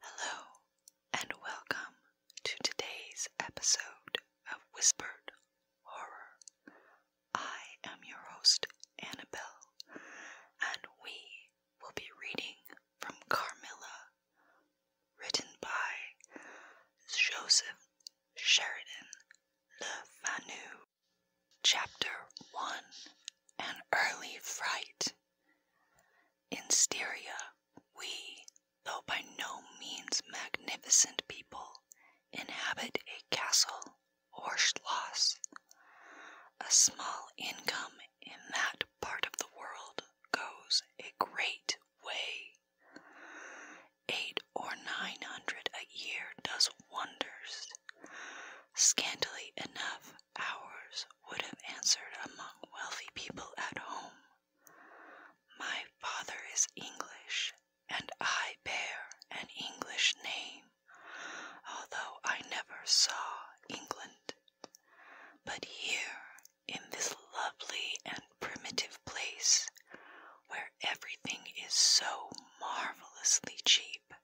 Hello, and welcome to today's episode of Whispered Horror. I am your host, Annabelle, and we will be reading from Carmilla, written by Joseph Sheridan Le Fanu. Chapter 1 An Early Fright. In Styria, we, though by no means magnificent people, inhabit a castle or schloss. A small income in that part of the world goes a great way. Eight or nine hundred a year does wonders. Scantily enough, ours would have answered among wealthy people at home. My father is English, and I bear an English name, although I never saw England. But here, in this lovely and primitive place, where everything is so marvelously cheap,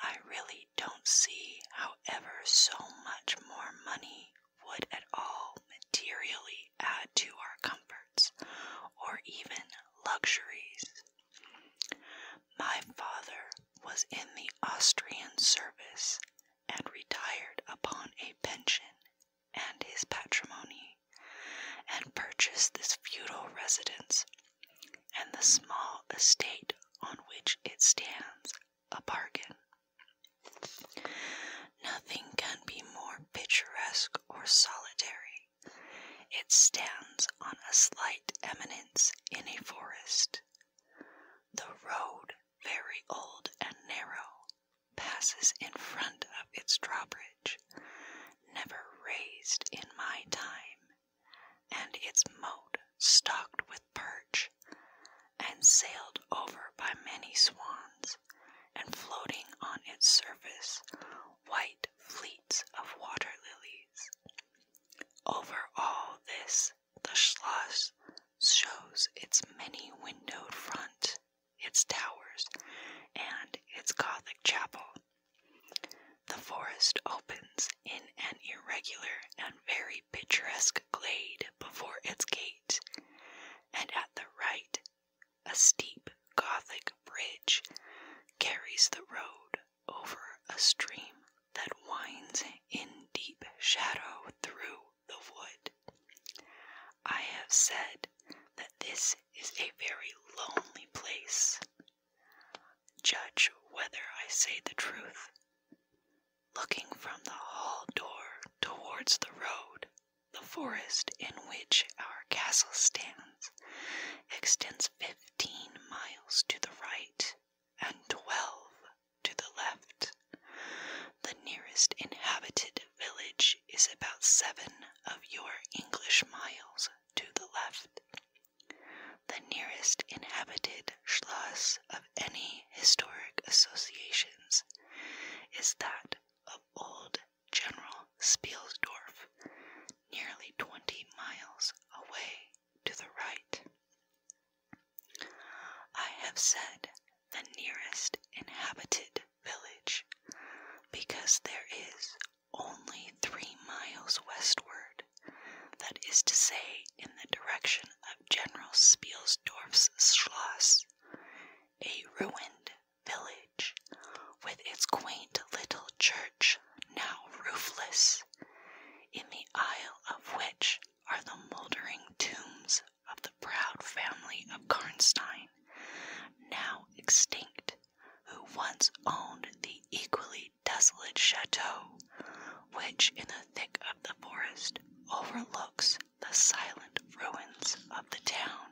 I really don't see, how ever so much more money would at all materially add to our comforts or even luxuries. My father was in the Austrian service and retired upon a pension and his patrimony and purchased this feudal residence and the small estate on which it stands a bargain. Nothing can be more picturesque or solitary. It stands on a slight eminence in a forest. The road, very old and narrow, passes in front of its drawbridge, never raised in my time, and its moat, stocked with perch, and sailed over by many swans, and floating on its surface, white fleets of water lilies. Over all this, the Schloss shows its many windowed front, its towers, and its Gothic chapel. The forest opens in an irregular and very picturesque glade before its gate, and at the right, a steep Gothic bridge carries the road over a stream that winds in deep shadow through the wood. I have said that this is a very lonely place. Judge whether I say the truth looking from the hall door towards the road. The forest in which our castle stands extends fifteen miles to the right and twelve to the left. The nearest inhabited village is about seven of your English miles to the left the nearest inhabited Schloss of any historic associations is that of old General Spielsdorf, nearly 20 miles away to the right. I have said the nearest inhabited village because there is only three miles westward that is to say, in the direction of General Spielsdorf's Schloss, a ruined village with its quaint little church now roofless, in the aisle of which are the mouldering tombs of the proud family of Karnstein, now extinct, who once owned the equally desolate chateau, which in the thick of the forest overlooks the silent ruins of the town.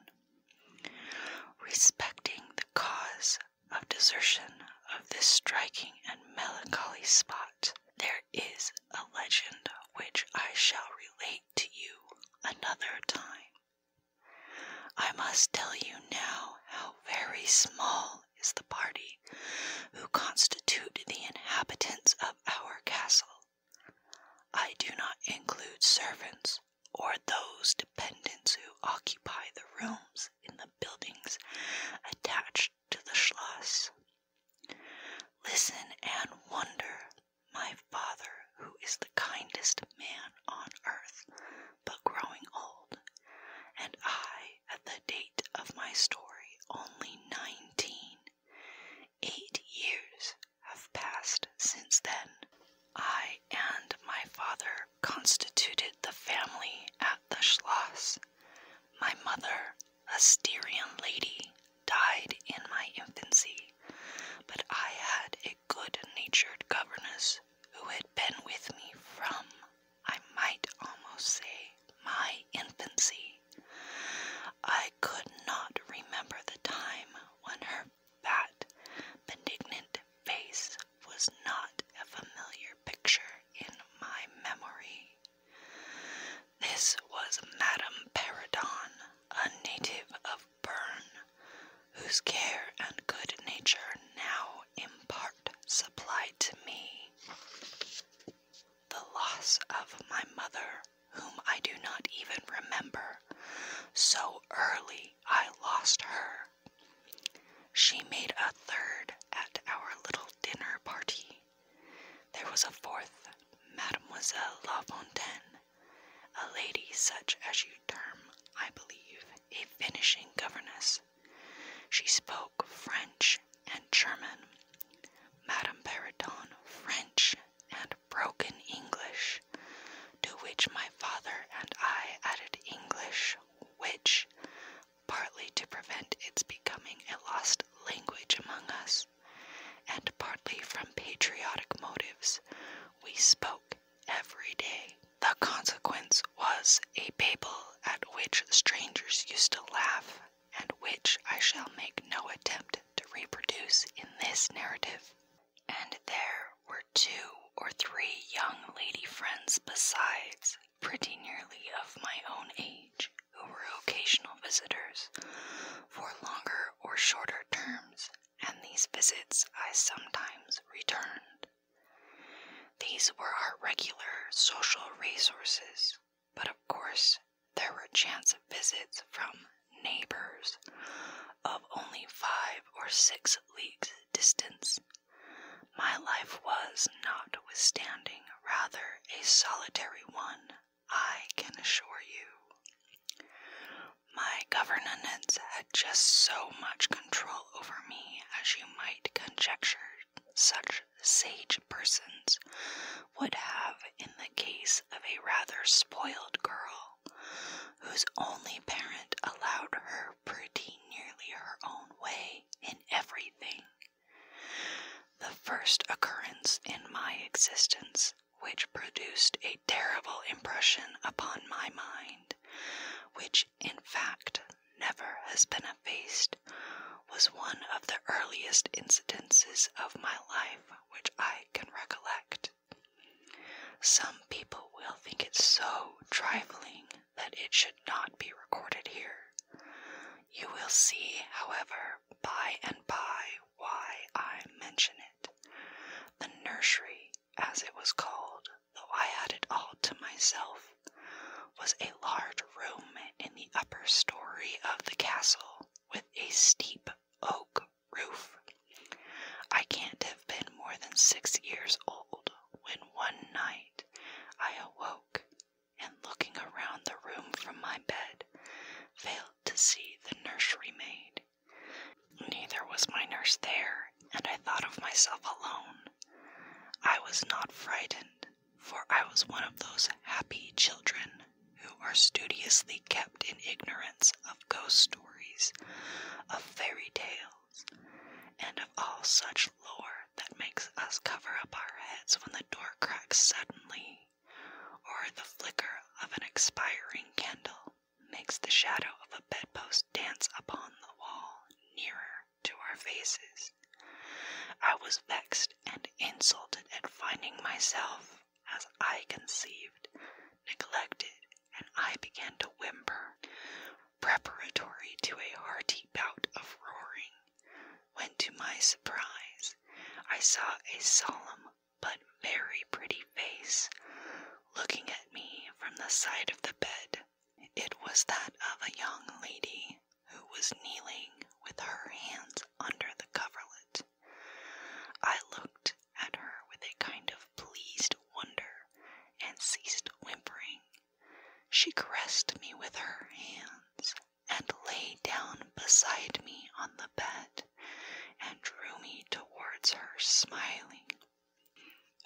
Respecting the cause of desertion of this striking and melancholy spot, there is a legend which I shall relate to you another time. I must tell you now how very small is the party who constitute the inhabitants of our castle. I do not include servants or those dependents who occupy the rooms in the buildings attached to the Schloss. Listen and wonder, my father, who is the kindest man on earth, but growing old, and I at the date of my story only 19. years have passed since then. I and my father constituted the family at the Schloss. My mother, a Styrian lady, died in my infancy, but I had a good natured governess who had been with me from I might almost say my infancy, I could not remember the time when her fat, benignant face was not a familiar picture in my memory. This was Madame Paradon, a native of Bern, whose care and good nature now in part supplied to me. The loss of my mother, whom I do not even remember, so early I lost her. She made a third at our little dinner party. There was a fourth, Mademoiselle La Fontaine, a lady such as you term, I believe, a finishing governess. She spoke French and German, Madame Periton French and broken English, to which my father and I added English, which, partly to prevent its becoming a lost language among us, and partly from patriotic motives, we spoke every day. The consequence was a Babel at which strangers used to laugh, and which I shall make no attempt to reproduce in this narrative. And there were two or three young lady friends besides, pretty nearly of my own age, who were occasional visitors for longer or shorter terms, and these visits I sometimes returned. These were our regular social resources, but of course, there were chance visits from neighbors of only five or six leagues distance. My life was, notwithstanding, rather a solitary one, I can assure you. My governance had just so much control over me as you might conjecture such sage persons would have in the case of a rather spoiled girl whose only parent allowed her pretty nearly her own way in everything. The first occurrence in my existence which produced a terrible impression upon my mind, which in fact never has been effaced, was one of the earliest incidences of my life which I can recollect. Some people will think it so trifling that it should not be recorded here. You will see, however, by and by why I mention it. The nursery, as it was called, though I had it all to myself, was a large room in the upper story of the castle with a steep oak roof. I can't have been more than six years old when one night I awoke and looking around the room from my bed failed to see the nursery maid. Neither was my nurse there, and I thought of myself alone. I was not frightened, for I was one of those happy children who are studiously kept in ignorance of ghost stories, of fairy tales, and of all such lore that makes us cover up our heads when the door cracks suddenly, or the flicker of an expiring candle makes the shadow of a bedpost dance upon the wall nearer to our faces. I was vexed and insulted at finding myself, as I conceived, neglected, and I began to whimper, preparatory to a hearty bout of roaring, when to my surprise I saw a solemn but very pretty face looking at me from the side of the bed. It was that of a young lady who was kneeling with her hands under the coverlet. I looked at her with a kind of pleased wonder and ceased whimpering. She caressed me with her hands and lay down beside me on the bed and drew me towards her, smiling.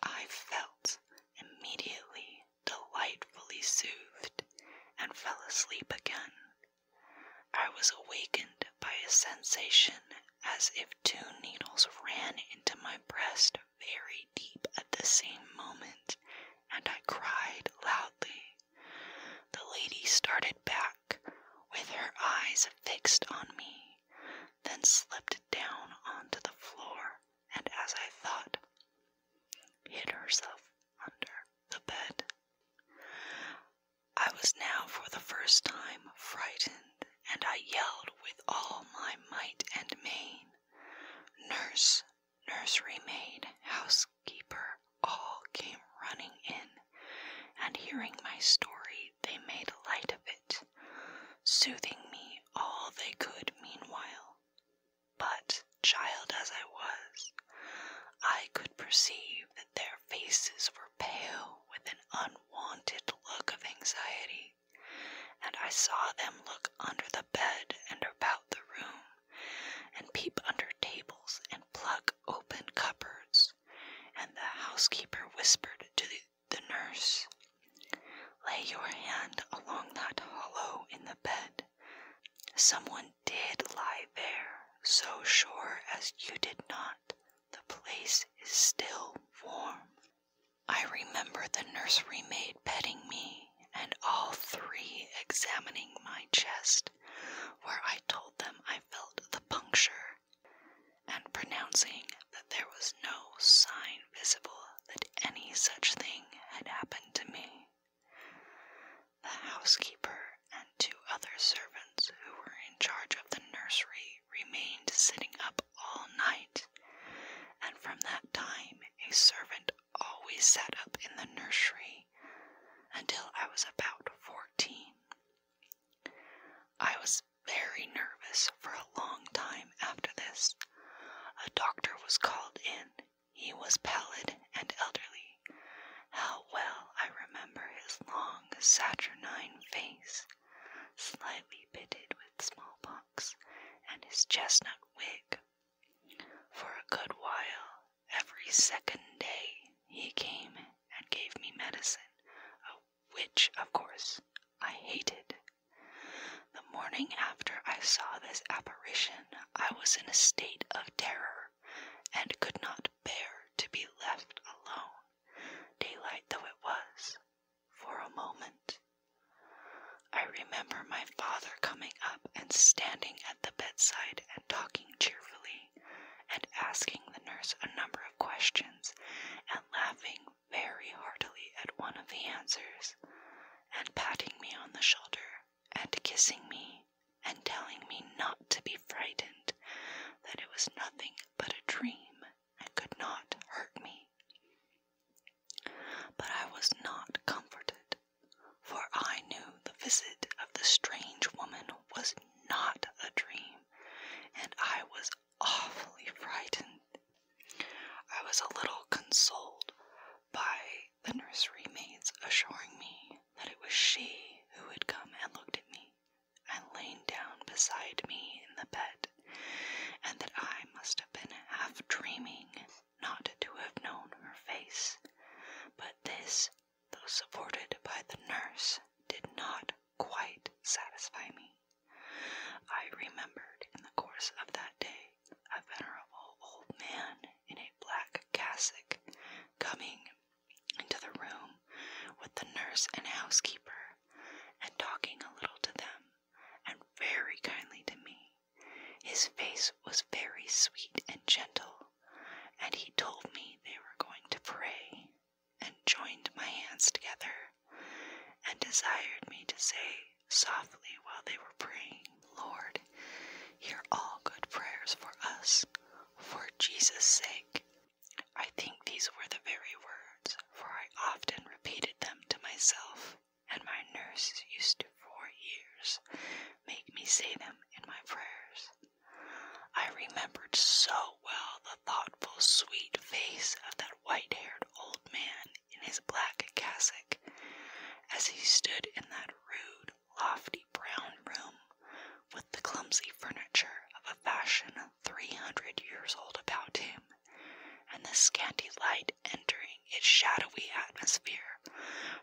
I felt immediately delightfully soothed, and fell asleep again. I was awakened by a sensation as if two needles ran into my breast very deep at the same moment, and I cried loudly. The lady started back with her eyes fixed on me, then slipped down onto the floor, and as I thought, hid herself under the bed. I was now for the first time frightened, and I yelled with all my might and main Nurse, nursery maid, housekeeper, all came running in, and hearing my story, they made light of it, soothing me all they could meanwhile. But, child as I was, I could perceive that their faces were pale with an unwonted look of anxiety, and I saw them look under the bed and about the room, and peep under tables and pluck open cupboards, and the housekeeper whispered to the nurse Lay your hand along that hollow in the bed. Someone did lie there, so sure as you did not. The place is still warm. I remember the nursery maid petting me and all three examining my chest, where I told them I felt the puncture, and pronouncing that there was no sign visible that any such thing had happened to me. The housekeeper and two other servants who were in charge of the nursery remained sitting up all night, and from that time a servant always sat up in the nursery until I was about fourteen. I was very nervous for a long time a long time after this. A doctor was called in. He was pallid and elderly. How well I remember his long, saturnine face, slightly pitted with smallpox, and his chestnut wig. For a good while, every second day, he came and gave me medicine, which, of course, I hated the morning after I saw this apparition, I was in a state of terror and could not bear to be left alone, daylight though it was, for a moment. I remember my father coming up and standing at the bedside and talking cheerfully and asking the nurse a number of questions and laughing very heartily at one of the answers, and patting me on the shoulder, and kissing me, and telling me not to be frightened, that it was nothing but a dream and could not hurt me. But I was not comforted, for I knew the visit of the strange woman was not a dream, and I was awfully frightened. I was a little consoled by the nursery maid's assuring me that it was she who had come and looked at me and lain down beside me in the bed, and that I must have been half dreaming not to have known her face. But this, though supported by the nurse, did not quite satisfy me. I remembered in the course of that day a venerable old man in a black cassock coming into the room with the nurse and housekeeper and talking a little to them and very kindly to me. His face was very sweet and gentle, and he told me they were going to pray and joined my hands together and desired me to say softly while they were praying, Lord, hear all good prayers for us, for Jesus' sake. I think these were the very words, for I often repeated them to myself, and my nurse used to for years make me say them in my prayers. I remembered so well the thoughtful, sweet face of that white haired old man in his black cassock, as he stood in that rude, lofty brown room with the clumsy furniture of a fashion three hundred years old about him, and the scanty light entering its shadowy atmosphere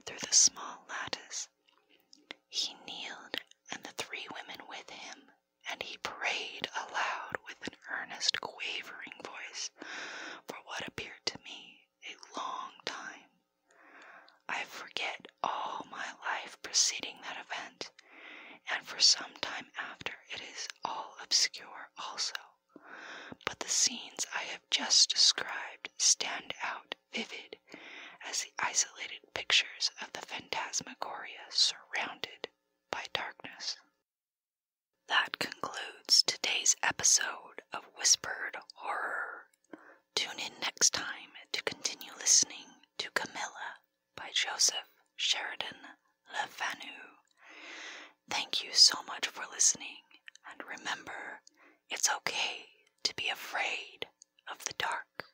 through the small lattice. He kneeled, and the three women with him, and he prayed aloud with an earnest, quavering voice for what appeared to me a long time. I forget all my life preceding that event, and for some time after it is all obscure also. But the scenes I have just described stand out vivid as the isolated pictures of the phantasmagoria surrounded by darkness. That concludes today's episode of Whispered Horror. Tune in next time to continue listening to Camilla by Joseph Sheridan LeFanu. Thank you so much for listening, and remember, it's okay to be afraid of the dark.